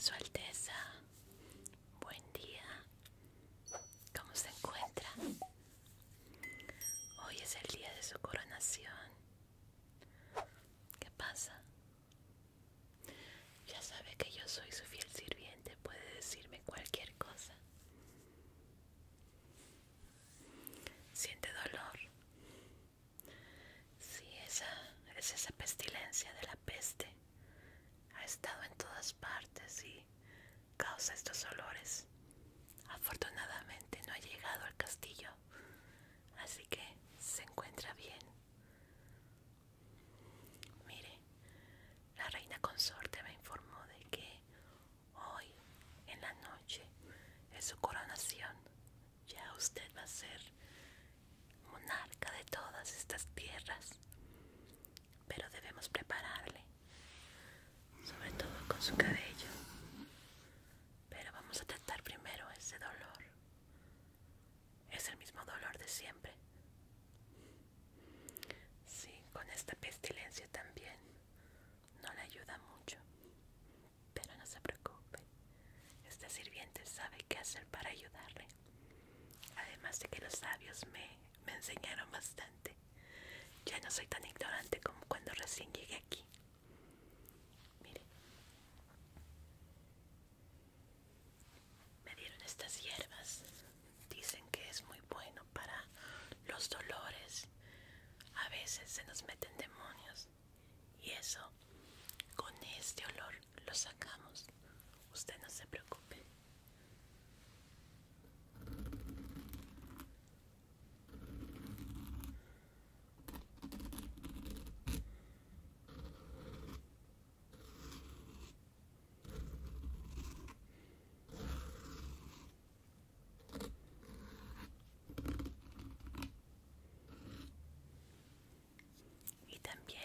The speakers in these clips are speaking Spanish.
Su Alteza, buen día. ¿Cómo se encuentra? Hoy es el día de su coronación. ¿Qué pasa? Ya sabe que yo soy su fiel sirviente, puede decirme cualquier cosa. Siente dolor. Sí, esa es esa pestilencia de la peste. Ha estado en todas partes y causa estos olores. Afortunadamente no ha llegado al castillo, así que se encuentra bien. Mire, la reina consorte me informó de que hoy en la noche, en su coronación, ya usted va a ser monarca de todas estas tierras. Pero debemos prepararle, sobre todo con su cabello. Pero vamos a tratar primero ese dolor. Es el mismo dolor de siempre. Sí, con esta pestilencia también. No le ayuda mucho. Pero no se preocupe. este sirviente sabe qué hacer para ayudarle. Además de que los sabios me, me enseñaron bastante. Ya no soy tan ignorante como cuando recién llegué aquí. Mire. Me dieron estas hierbas. Dicen que es muy bueno para los dolores. A veces se nos meten demonios. Y eso, con este olor lo sacamos. Usted no se preocupe. Y también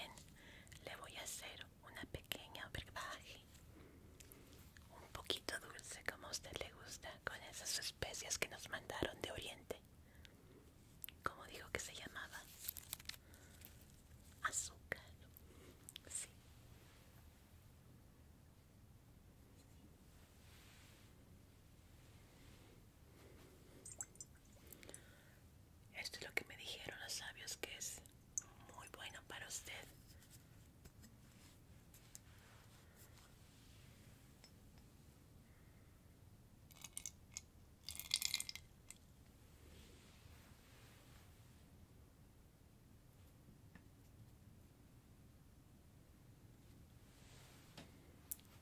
le voy a hacer una pequeña brebaje, un poquito dulce como a usted le gusta, con esas especias que nos mandaron de Oriente. ¿Cómo dijo que se llamaba? Azúcar. Sí. Esto es lo que me dijeron los sabios que es muy bueno para usted.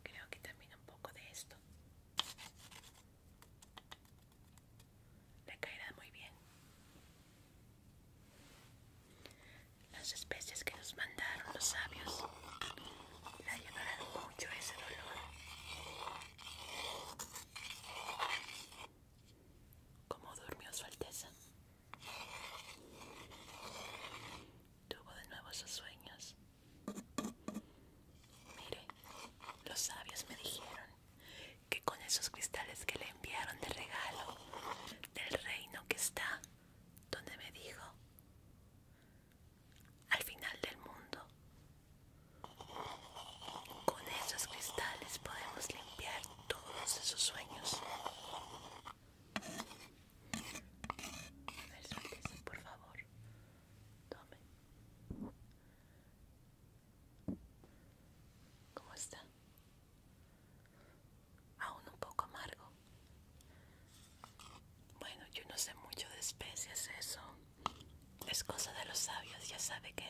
Creo que también un poco de esto le caerá muy bien. Las especies que nos mandaron los sabios le ha mucho ese dolor. ¿Cómo durmió su Alteza? Tuvo de nuevo sus sueños. Mire, los sabios me dijeron que con esos cristales que le enviaron de regalo del reino que está, donde me dijo, al final del mundo. Con esos cristales podemos limpiar todos esos sueños. A ver, por favor. Tome. ¿Cómo está? Aún un poco amargo. Bueno, yo no sé mucho de especies, eso es cosa de los sabios, ya sabe que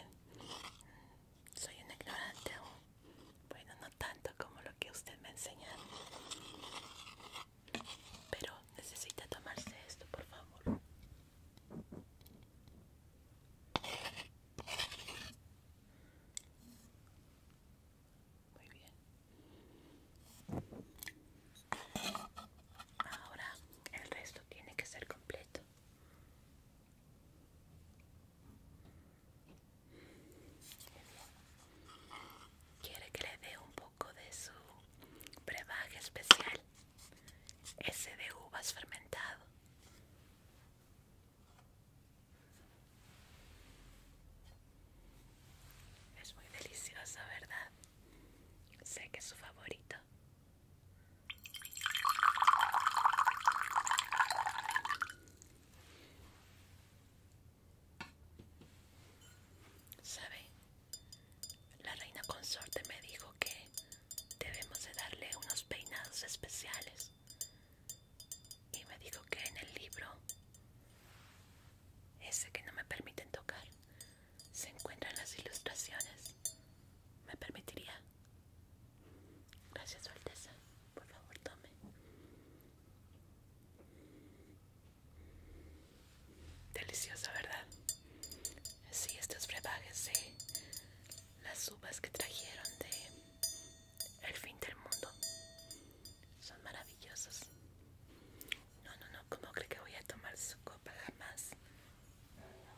soy un ignorante bueno, no tanto como lo que usted me enseña. Pero necesita tomarse esto, por favor. Muy bien. Ahora el resto tiene que ser completo. Quiere que le dé un poco de su brebaje especial, ese de uvas fermentado. Es muy delicioso, ¿verdad? Sé que es su favorito. ¿Sabe? La reina consorte me dijo que debemos de darle unos peinados especiales. Y me dijo que en el libro ese que no me permiten tocar, se encuentra en las ilustraciones. ¿Me permitiría? Gracias, Su Alteza. Por favor, tome. Deliciosa, ¿verdad? Sí, estos brebajes las uvas que trajeron de el fin del mundo son maravillosos. No, no, no, ¿cómo cree que voy a tomar su copa jamás? Ahora,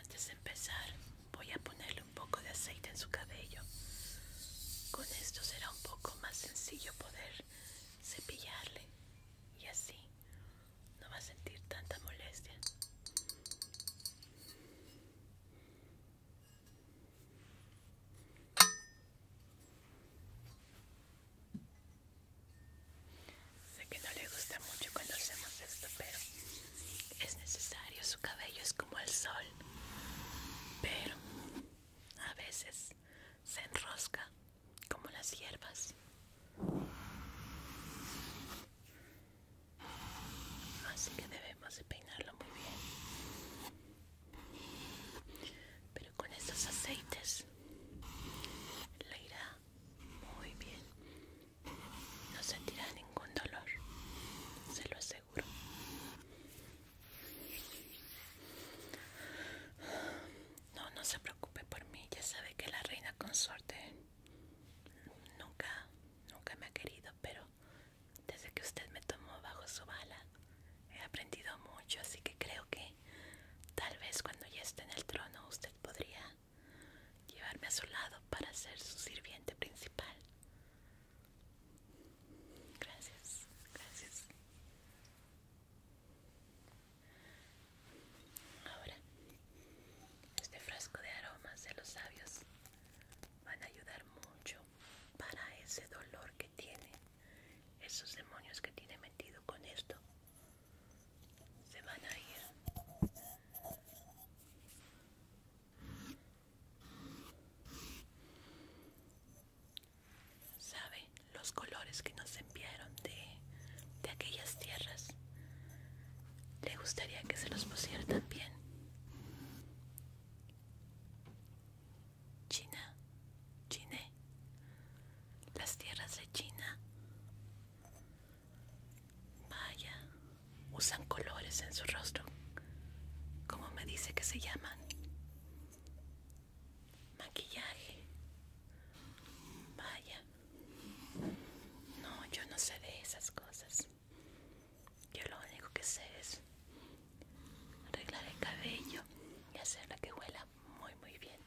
antes de empezar, voy a ponerle un poco de aceite en su cabello. Con esto será un poco más sencillo poder cepillarle y así no va a sentir tanta molestia. Sé que no le gusta mucho cuando hacemos esto, pero es necesario. Su cabello es como el sol, pero a veces se enrosca como las hierbas así que debemos peinarlo muy bien pero con estos aceites le irá muy bien no sentirá ningún dolor se lo aseguro no no se preocupe por mí ya sabe que la reina consorte nunca nunca me ha querido pero desde que usted me tomó bajo su bala, he aprendido mucho, así que creo que tal vez cuando ya esté en el trono usted podría llevarme a su lado para ser su sirviente principal. Gracias, gracias. Ahora, este frasco de aromas de los sabios van a ayudar mucho para ese dolor que tiene esos demonios que tiene metido con esto se van a ir sabe los colores que nos enviaron de, de aquellas tierras le gustaría que se los pusiera también China, China, las tierras de China. Vaya, usan colores en su rostro. ¿Cómo me dice que se llaman? Maquillaje. Vaya, No, yo no sé de esas cosas. Yo lo único que sé es arreglar el cabello y hacerla que huela muy muy bien.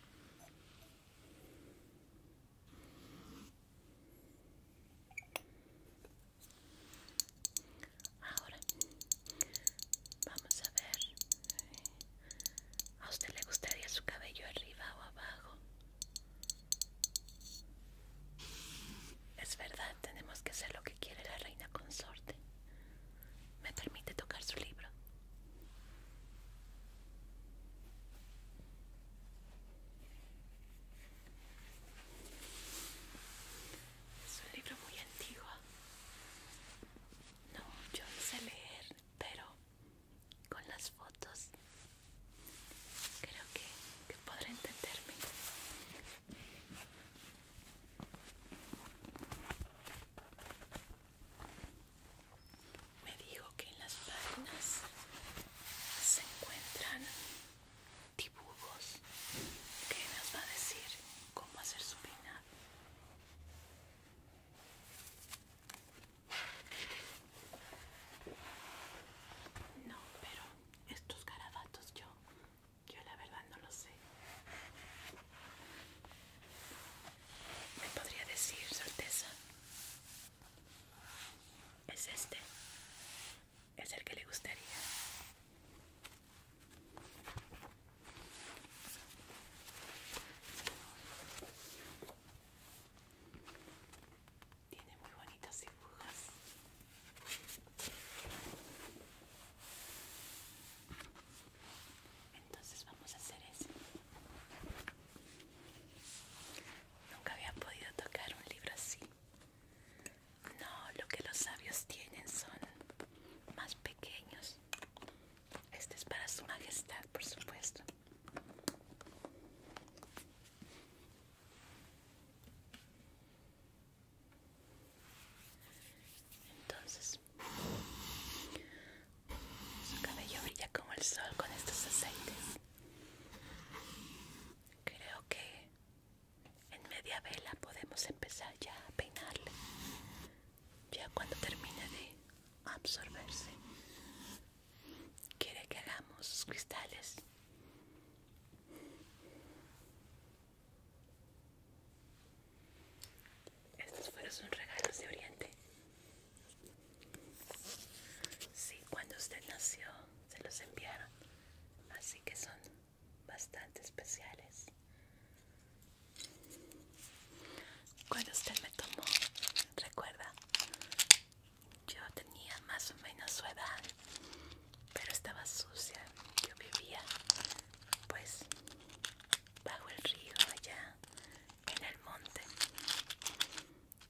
Ahora vamos a ver. ¿A usted le gustaría su cabello arriba o abajo? Es verdad, tenemos que hacer lo que quiere la reina consorte. ¿Me permite tocar su libro? Es un libro muy antiguo. No, yo no sé leer, pero con las fotos Creo que, que podrá entenderme. Me dijo que en las páginas se encuentran dibujos que nos va a decir cómo hacer su vida. No, pero estos garabatos yo yo la verdad no lo sé me podría decir certeza es este es el que le gustaría tiene muy bonitas dibujas. Entonces vamos a hacer eso. Nunca había podido tocar un libro así. No, lo que los sabios tienen son más pequeños. Este es para su majestad, por supuesto. Entonces, su cabello brilla como el sol con estos aceites. Creo que en media vela podemos empezar ya a peinarle. Ya cuando termine de absorberse, quiere que hagamos cristales estos fueron sus regalos de Oriente. Sí, cuando usted nació se los enviaron, así que son bastante especiales. Cuando usted me tomó, recuerda, yo tenía más o menos su edad, pero estaba sucia. Yo vivía, pues, bajo el río, allá en el monte.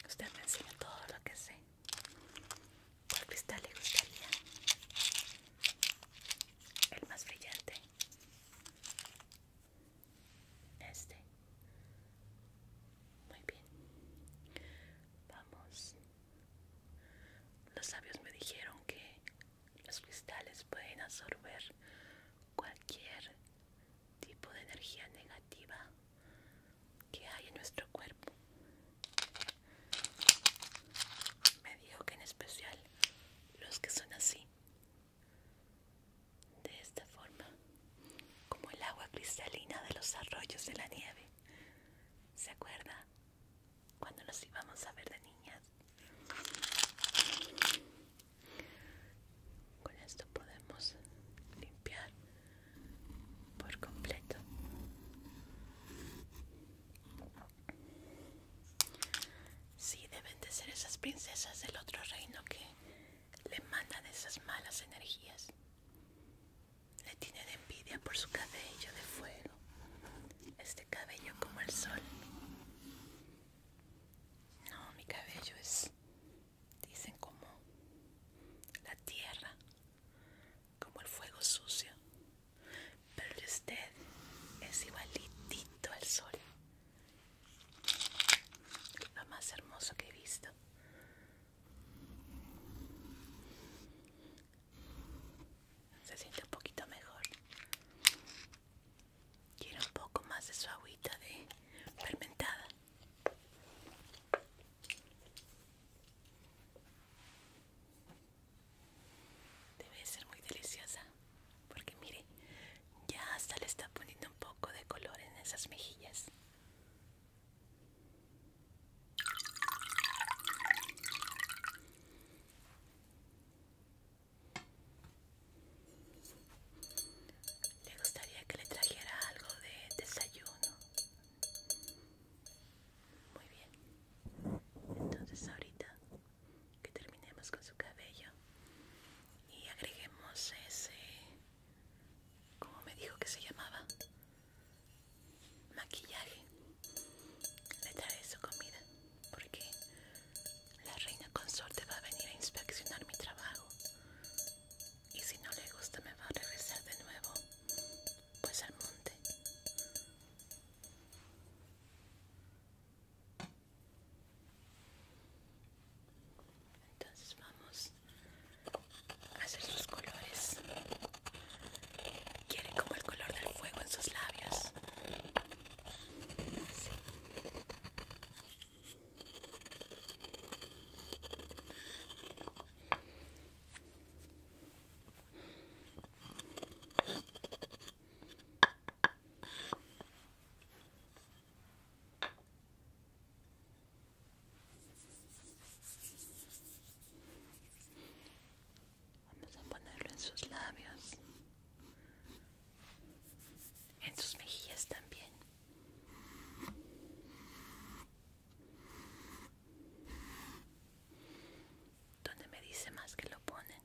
Usted me enseña todo lo que sé. ¿Cuál cristal le gustaría? El más brillante. Este. Muy bien. Vamos los sabios me dijeron que los cristales pueden absorber cualquier tipo de energía negativa que hay en nuestro cuerpo. Me dijo que en especial los que son así. De esta forma, como el agua cristalina de los arroyos de la nieve. ¿Se acuerda? Cuando nos íbamos a ver de niñas. Con esto podemos limpiar por completo. Sí, deben de ser esas princesas del otro reino que le mandan esas malas energías. Le de envidia por su cabello de fuego, este cabello como el sol. No, mi cabello es, dicen como la tierra, como el fuego sucio. Pero usted es igualitito al sol. Lo más hermoso que he visto. Se siente un poquito mejor. Quiero un poco más de su agüita de fermentada. Debe ser muy deliciosa, porque mire, ya hasta le está poniendo un poco de color en esas mejillas. Le gustaría que le trajera algo de desayuno. Muy bien. Entonces ahorita que terminemos con su cabello y agreguemos ese... ¿Cómo me dijo que se llamaba? maquillaje le traigo su comida porque la reina consorte va a venir a inspeccionar mi trabajo y si no le gusta me va a regresar de nuevo pues al monte entonces vamos hacer sus colores. Quieren como el color del fuego en sus labios. Vamos a ponerlo en sus labios, en sus mejillas también. ¿Dónde me dice más que lo ponen?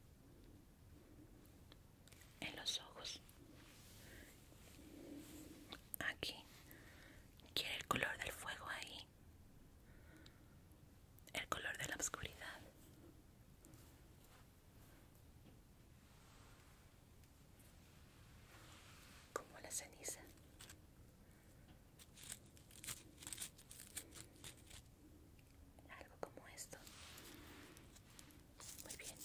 En los ojos. Aquí. Quiere el color del fuego ahí. El color de la oscuridad. Como la ceniza. Algo como esto. Muy bien.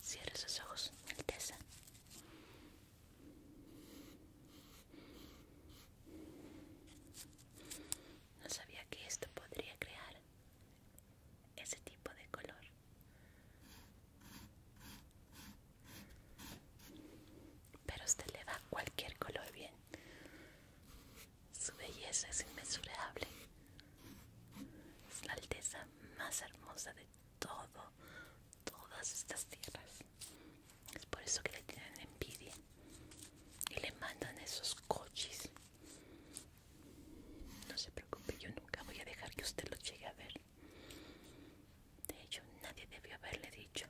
Cierra sus ojos, Alteza. No sabía que esto podría crear ese tipo de color. Pero usted le va cualquier color bien. Su belleza es inmesurable. Es la alteza más hermosa de todo, todas estas tierras. Es por eso que le tienen envidia y le mandan esos coches. No se preocupe, yo nunca voy a dejar que usted lo llegue a ver. De hecho, nadie debió haberle dicho.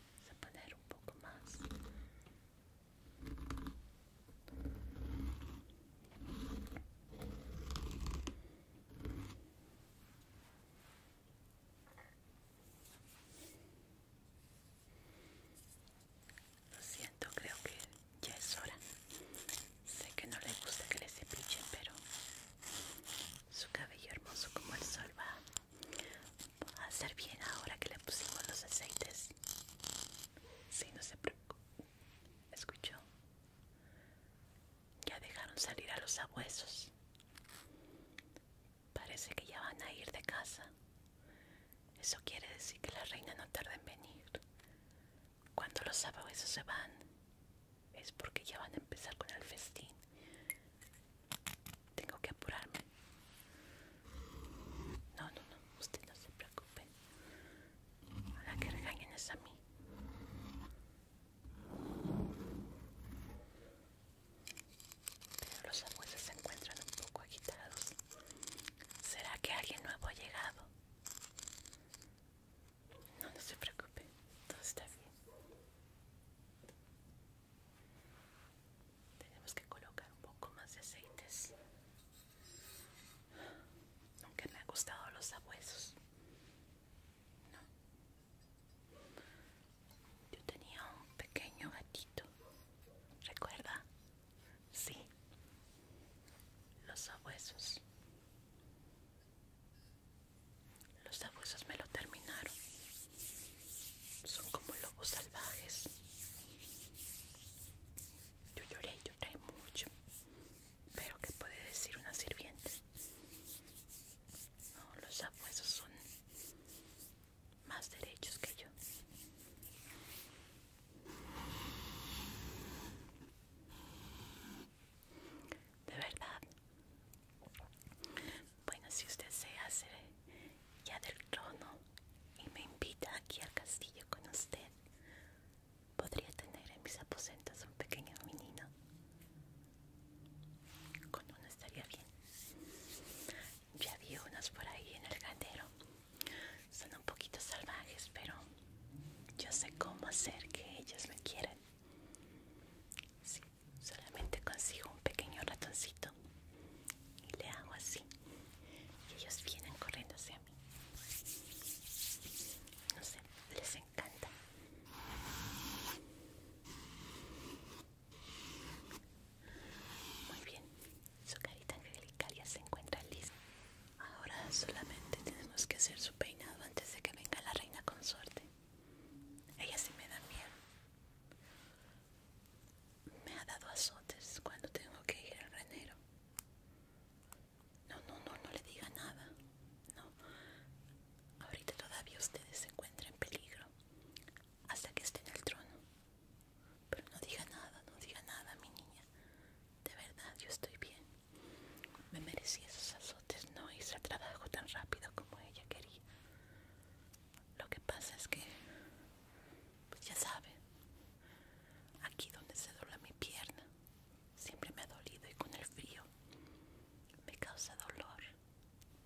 Vamos a poner un poco más. Lo siento, creo que ya es hora. Sé que no le gusta que le cepillen, pero su cabello hermoso como el sol va a ser bien ahora que le pusimos los aceites. Sí, no se preocupe. ¿Escuchó? Ya dejaron salir a los abuesos. Parece que ya van a ir de casa. Eso quiere decir que la reina no tarda en venir. Cuando los abuesos se van, es porque ya van a empezar con el festín. Tengo que apurarme. No, no, no, usted no se preocupe. Para que regañen es a mí. Pero los abuelos se encuentran un poco agitados. ¿Será que alguien nuevo ha llegado? No, no se preocupe, todo está bien. Tenemos que colocar un poco más de aceites Nunca me ha gustado los sabuesos. No. Yo tenía un pequeño gatito. ¿Recuerda? Sí. Los sabuesos. Los sabuesos me lo terminaron. Son como lobos salvajes. Yo lloré, lloré mucho. Pero ¿qué puede decir una sirviente? No, los abuesos son más derechos que yo. De verdad. Bueno, si usted se hace ya del trono y me invita aquí al castillo con usted, Podría tener en mis aposentos un pequeño menino. Con uno estaría bien. Ya vi unos por ahí en el ganero, Son un poquito salvajes, pero yo sé cómo hacer que ellos me quieran. solamente consigo un pequeño ratoncito y le hago así. Y ellos vienen corriendo hacia no sé, les encanta. Muy bien, su carita angelical ya se encuentra lista. Ahora solamente tenemos que hacer su peinado antes de que venga la reina consorte. Ella sí me da miedo. Me ha dado azotes cuando tengo que ir al renero no, no, no, no le diga nada. No. Ahorita todavía ustedes se encuentran en peligro. Hasta que esté en el trono. Pero no diga nada, no diga nada, mi niña. De verdad, yo estoy bien. Me merecí esos azotes, no hice el trabajo tan rápido como ella quería. Lo que pasa es que, pues ya sabe, aquí donde se dobla mi pierna, siempre me ha dolido y con el frío me causa dolor.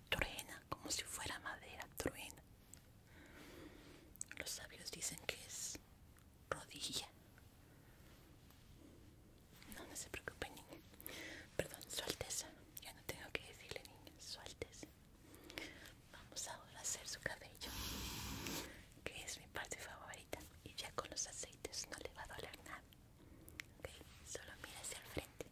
Truena como si fuera madera, truena. Los sabios dicen que es rodilla. No, no se preocupe, niña. Perdón, su alteza. Ya no tengo que decirle, niña, su alteza. Vamos ahora a hacer su cabello que es mi parte favorita y ya con los aceites no le va a doler nada ok solo mira hacia el frente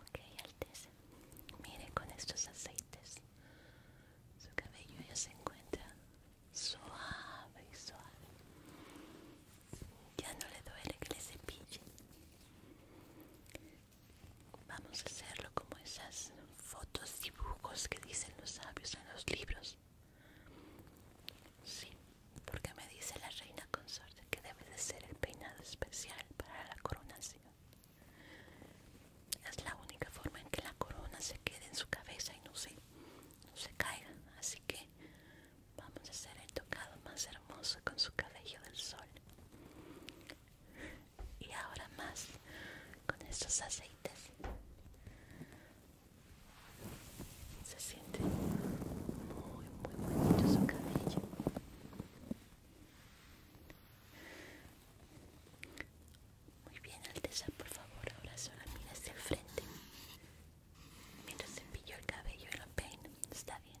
ok alteza mire con estos aceites su cabello ya se encuentra suave y suave ya no le duele que le cepille Vamos a hacerlo como esas fotos, dibujos que dicen los sabios en los libros. Sí, porque me dice la reina consorte que debe de ser el peinado especial para la coronación. Es la única forma en que la corona se quede en su cabeza y no se, no se caiga. Así que vamos a hacer el tocado más hermoso con su cabello del sol y ahora más con estos aceites se siente muy muy bonito su cabello muy bien Alteza por favor ahora solo mira hacia el frente mientras cepillo el cabello y lo peino está bien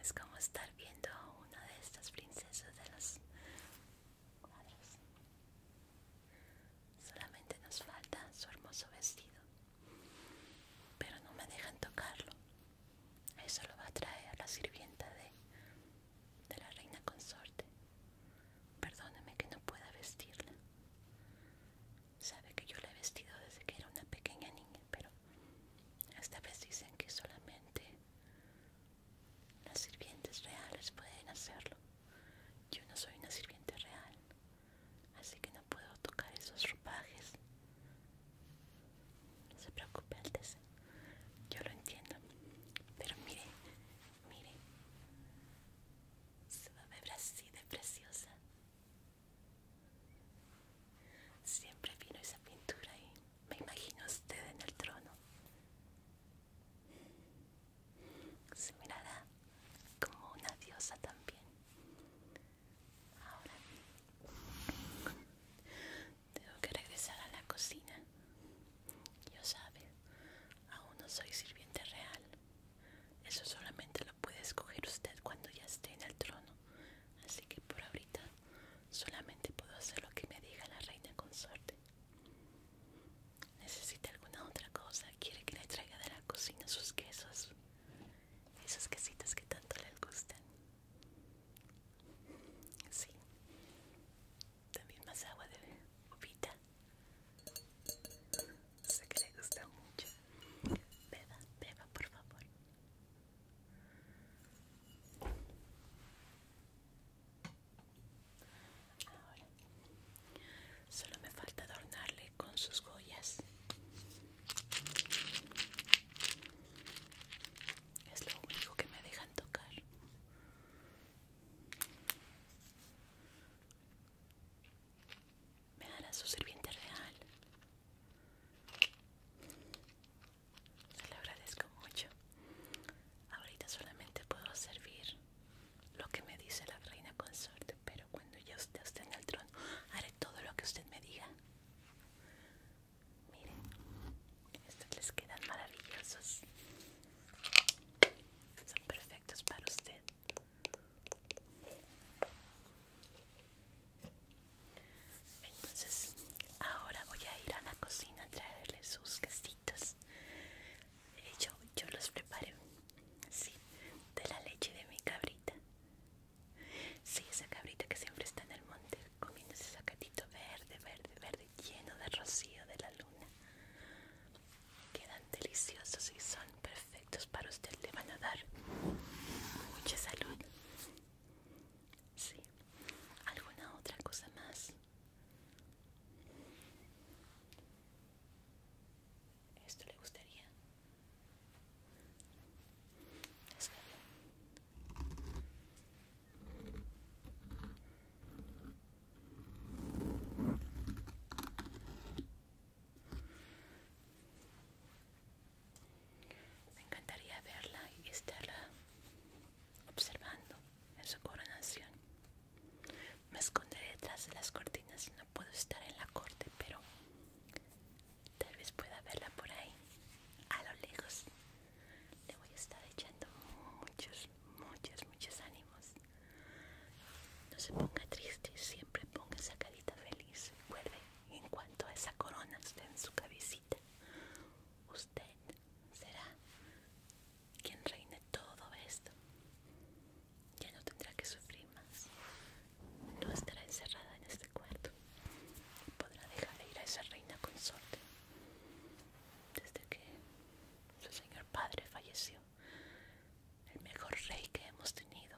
Es como estar viendo a una de estas princesas de las. Solamente nos falta su hermoso vestido. Pero no me dejan tocarlo. Eso lo va a traer la sirvienta de, de la reina consorte. Perdóname que no pueda vestirla. Sabe que yo la he vestido desde que era una pequeña niña, pero esta vez dicen que solamente las sirvientes reales pueden hacerlo. Yo no soy una sirviente real, así que no puedo tocar esos ropajes. No se preocupe, Alteza. Yo lo entiendo. Pero mire, mire. Se va a ver así de preciosa. Siempre vino esa pintura ahí me imagino usted en el trono. Se mirará como una diosa también. Ahora tengo que regresar a la cocina. Yo sabe, aún no soy sirviente real. Eso solamente lo puede escoger usted cuando ya esté en el trono. Así que por ahorita Solamente puedo hacer lo que me diga la reina consorte. ¿Necesita alguna otra cosa? ¿Quiere que le traiga de la cocina sus quesos? Esos quesitos que tanto le gustan. Sí. También más agua de Sé que le gusta mucho. Beba, beba, por favor. Ahora solo me falta adornarle con sus joyas. Es lo único que me dejan tocar. Me hará su sirviente real se lo agradezco mucho. Ahorita solamente puedo servir lo que me dice la reina consorte, pero cuando ya usted esté en el trono, haré todo lo que usted me diga. Miren, estos les quedan maravillosos. Son perfectos para usted. Entonces, ahora voy a ir a la cocina a traerle sus quesitos eh, Yo, los preparé, sí, de la leche de mi cabrita. Sí, esa cabrita que siempre está en el monte comiendo ese sacatito verde, verde, verde, lleno de rocío de la luna. Quedan deliciosos y son perfectos para usted. Le van a dar mucha salud. Sí. ¿Alguna otra cosa más? ¿Esto le gustaría? Me encantaría verla y estarla observando en su coronación. Me esconderé detrás de las cortinas, no puedo estar en la corte, pero tal vez pueda verla por ahí, a lo lejos. Le voy a estar echando muchos, muchos, muchos ánimos. No se ponga triste, siempre ponga esa carita feliz. Vuelve en cuanto a esa corona esté en su cabecita. Usted será quien reine todo esto. Ya no tendrá que sufrir más. No estará encerrada en este cuarto. Podrá dejar de ir a esa reina consorte. Desde que su señor padre falleció, el mejor rey que hemos tenido.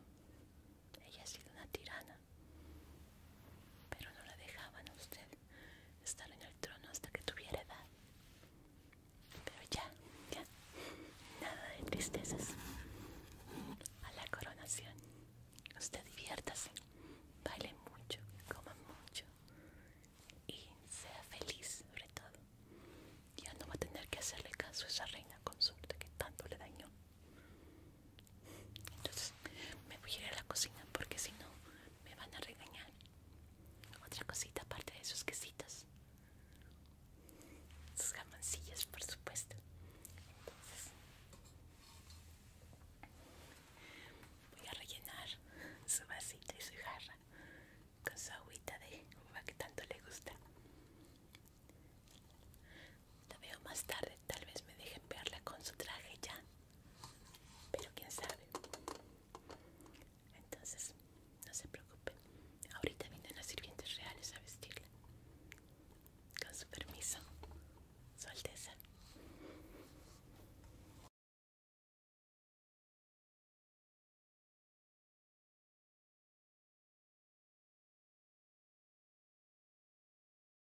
Ella ha sido una tirana pero no la dejaban a usted estar en el trono hasta que tuviera edad. Pero ya, ya, nada de tristezas. A la coronación, usted diviértase, baile mucho, coma mucho y sea feliz sobre todo. Ya no va a tener que hacerle caso a esa reina consorte que tanto le dañó. Entonces me voy a ir a la cocina porque si no me van a regañar. Otra cosita aparte de esos quesitos. Sus jamoncillos, por supuesto. Entonces voy a rellenar su vasita y su jarra con su agüita de uva que tanto le gusta. La veo más tarde, tal vez me dejen verla con su traje ya. Pero quién sabe. Entonces, no se preocupen. Ahorita vienen las sirvientes reales a vestirla. Con su permiso, Su Alteza.